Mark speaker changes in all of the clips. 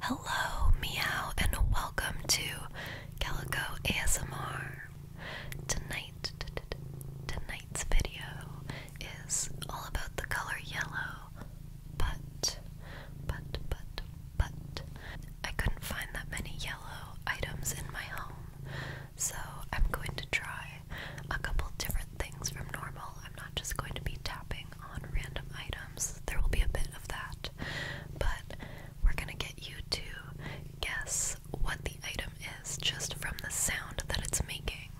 Speaker 1: Hello, meow, and welcome to Calico ASMR. Tonight, tonight's video is all about the color yellow, but, but, but, but, I couldn't find that many yellow items in my home, so I'm going to try a couple different things from normal. I'm not just going to be tapping on random items. There will be a bit of that, but we're gonna get you to guess what the item is just from the sound that it's making.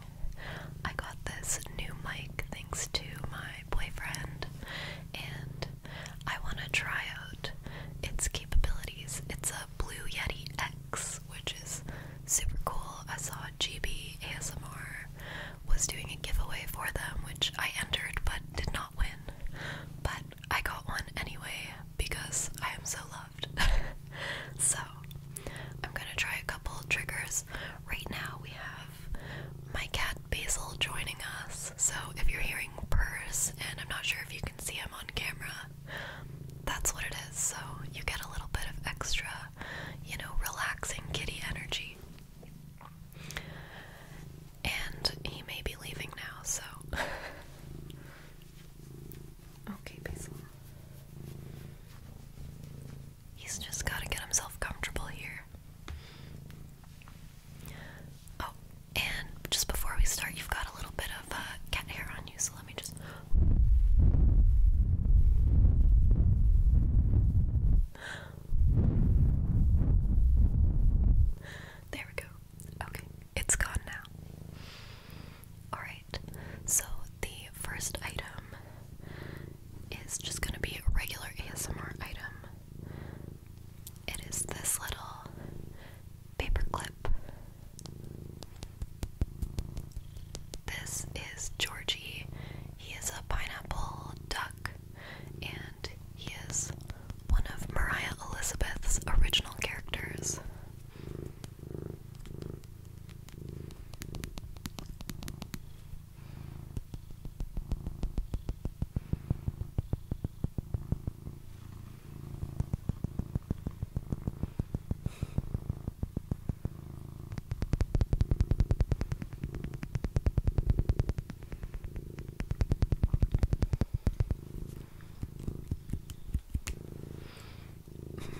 Speaker 1: I got this new mic thanks to my boyfriend, and I want to try out its capabilities. It's a Blue Yeti X, which is super cool. I saw it. GB ASMR was doing a giveaway for them, which I entered but did not win. But I got one anyway because I am so loved. so I'm gonna try a couple triggers. Right now we have my cat Basil joining us. So if you're hearing purrs and I'm not sure if you can see him on camera, that's what it is. So you get a little bit of extra, you know, relaxing kitty energy. And he may be leaving now, so. okay, Basil. He's just got to get himself comfortable here. Oh, and just before we start, you've got a little bit of uh, cat hair on you, so let me just. There we go. Okay, it's gone now. Alright, so the first item is just gonna be a regular ASMR item. It is this little paper clip. This is Georgie. He is a pineapple duck, and he is one of Maria Elizabeth's original characters.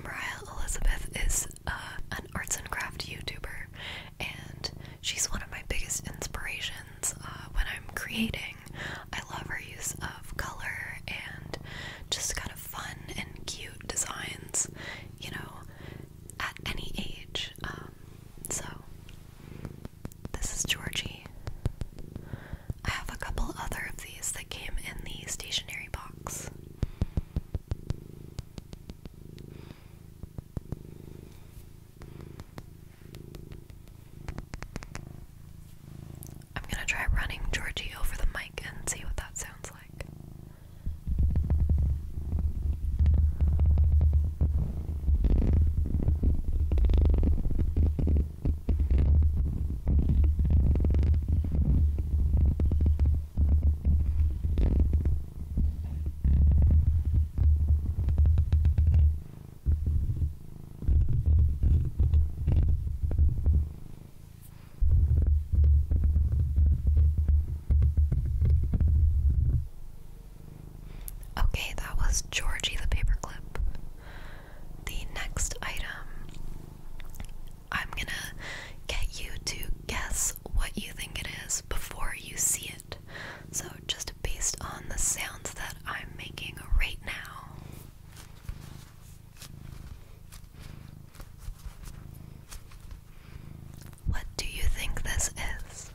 Speaker 1: Mariah Elizabeth is uh, an arts and craft YouTuber, and she's one of my biggest inspirations uh, when I'm creating. I love her use of color and just kind of fun and cute designs, you know, at any age. Um, so, this is Georgie. I have a couple other of these that came in the stationery box. I'm gonna try running Georgie over the mic and see what that sounds like. Okay, that was Georgie the paperclip. The next item, I'm gonna get you to guess what you think it is before you see it. So, just based on the sounds that I'm making right now. What do you think this is?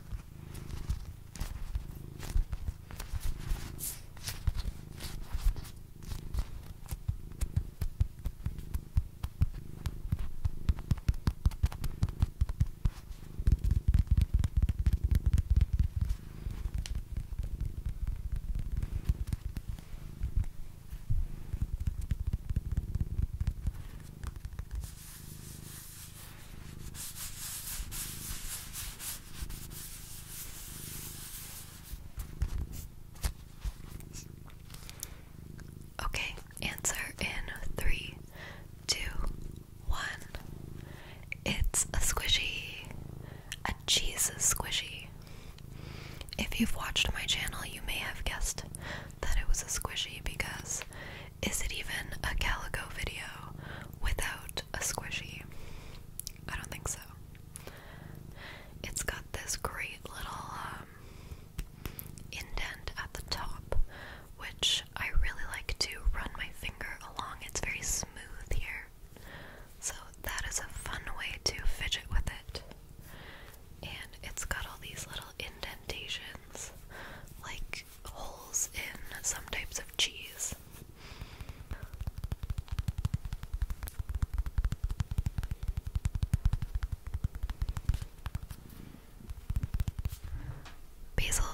Speaker 1: Okay, answer in three, two, one. It's a squishy. Jesus, squishy. If you've watched my channel, you may have guessed that it was a squishy because is it even a calico video without a squishy? I don't think so. It's got this great little um, indent at the top, which I really like to run my finger along. It's very smooth here. So that is a fun way to fidget with it. And it's got all these little indentations, like holes in some types of cheese. Basil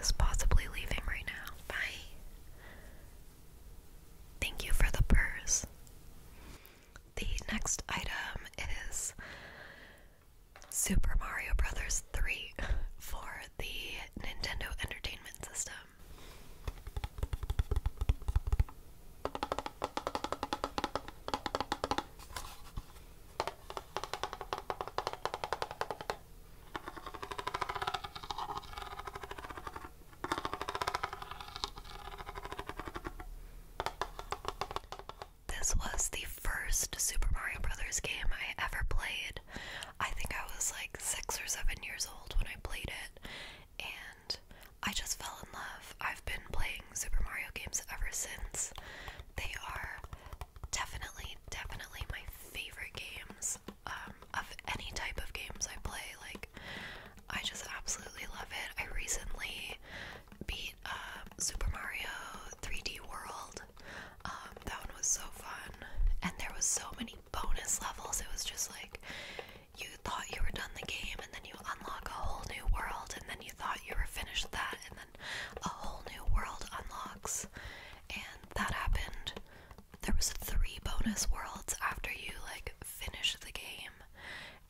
Speaker 1: is possibly leaving right now. Bye. Thank you for the purse. The next item is Super Mario Brothers 3 for the Nintendo Entertainment System. This was the first Super Mario Brothers game I ever played. I think I was like six or seven years old when I played it, and I just fell in love. I've been playing Super Mario games ever since. They are definitely, definitely my favorite games. Um, of any type of games I play. Like, I just absolutely love it. I recently beat um, Super Mario 3D World. Um, that one was so fun, and there was so many bonus levels. It was just like you thought you were done the game, and then you unlock a whole new world, and then you thought you were finished that, and then a whole new world unlocks and that happened. There was three bonus worlds after you like finish the game,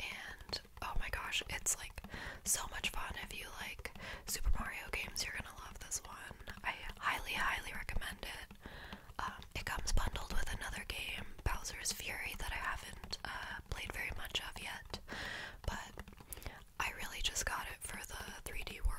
Speaker 1: and oh my gosh, it's like so much fun. If you like Super Mario games, you're gonna love this one. I highly, highly recommend it. Um, it comes bundled with another game, Bowser's Fury, that I haven't uh, played very much of yet, but I really just got it for the 3D world.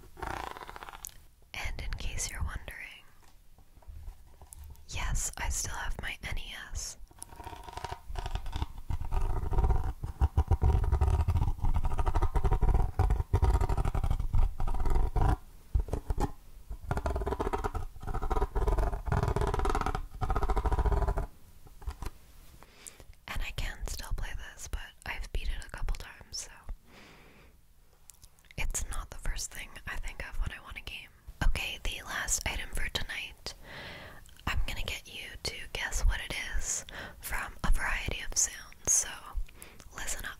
Speaker 1: And in case you're wondering, yes, I still have my NES. And I can still play this, but I've beat it a couple times, so it's not the first thing I think of when I want a game. Okay, the last item for tonight. I'm gonna get you to guess what it is from a variety of sounds, so listen up.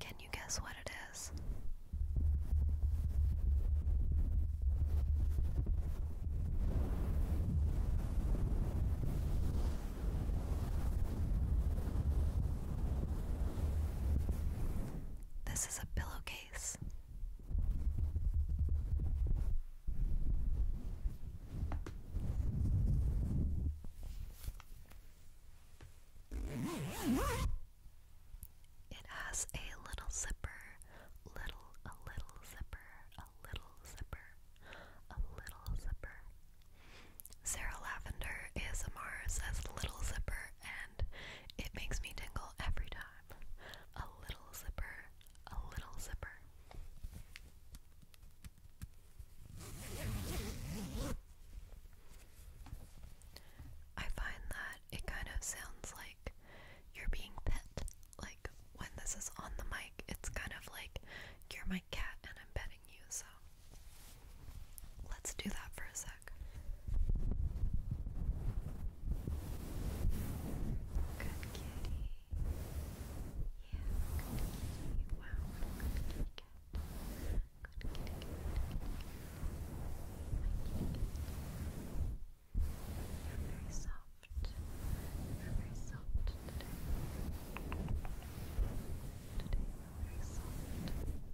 Speaker 1: Can you guess what it is? This is a pillowcase place. It has a little zipper, little, a little zipper, a little zipper, a little zipper. Sarah Lavender ASMR says little zipper it makes me tingle every time. A little zipper, a little zipper. I find that it kind of sounds like you're being pet. Like when this is on the mic, it's kind of like you're my cat and I'm petting you, so Let's do that for a sec. Good kitty. Yeah, Wow, good kitty cat. kitty You're very soft. You're very soft Today you're very soft.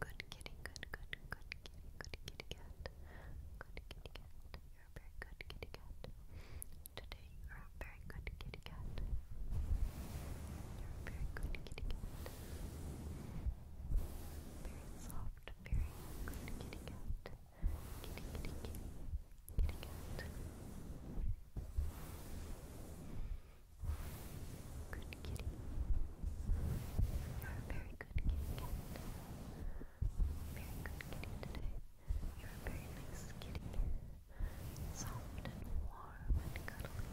Speaker 1: Good kitty, good, good, good kitty, good kitty cat. Good kitty cat. You're a very good kitty cat. Today you're a very good kitty cat. You're a very good kitty cat. Very soft, very good kitty cat. Kitty, kitty, kitty. Kitty cat. Good kitty. You're a very good kitty cat. Very good kitty today. You're a very nice kitty. Soft and warm and cuddly.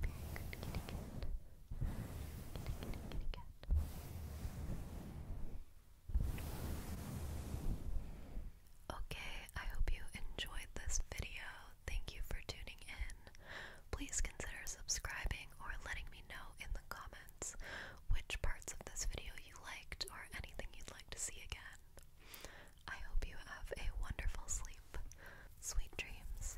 Speaker 1: Very good kitty cat. Kitty, kitty, kitty cat. Okay, I hope you enjoyed this video. Thank you for tuning in. Please consider subscribing or letting me know in the comments which parts of this video you liked or anything you'd like to see again. I hope you have a wonderful sleep. Sweet dreams.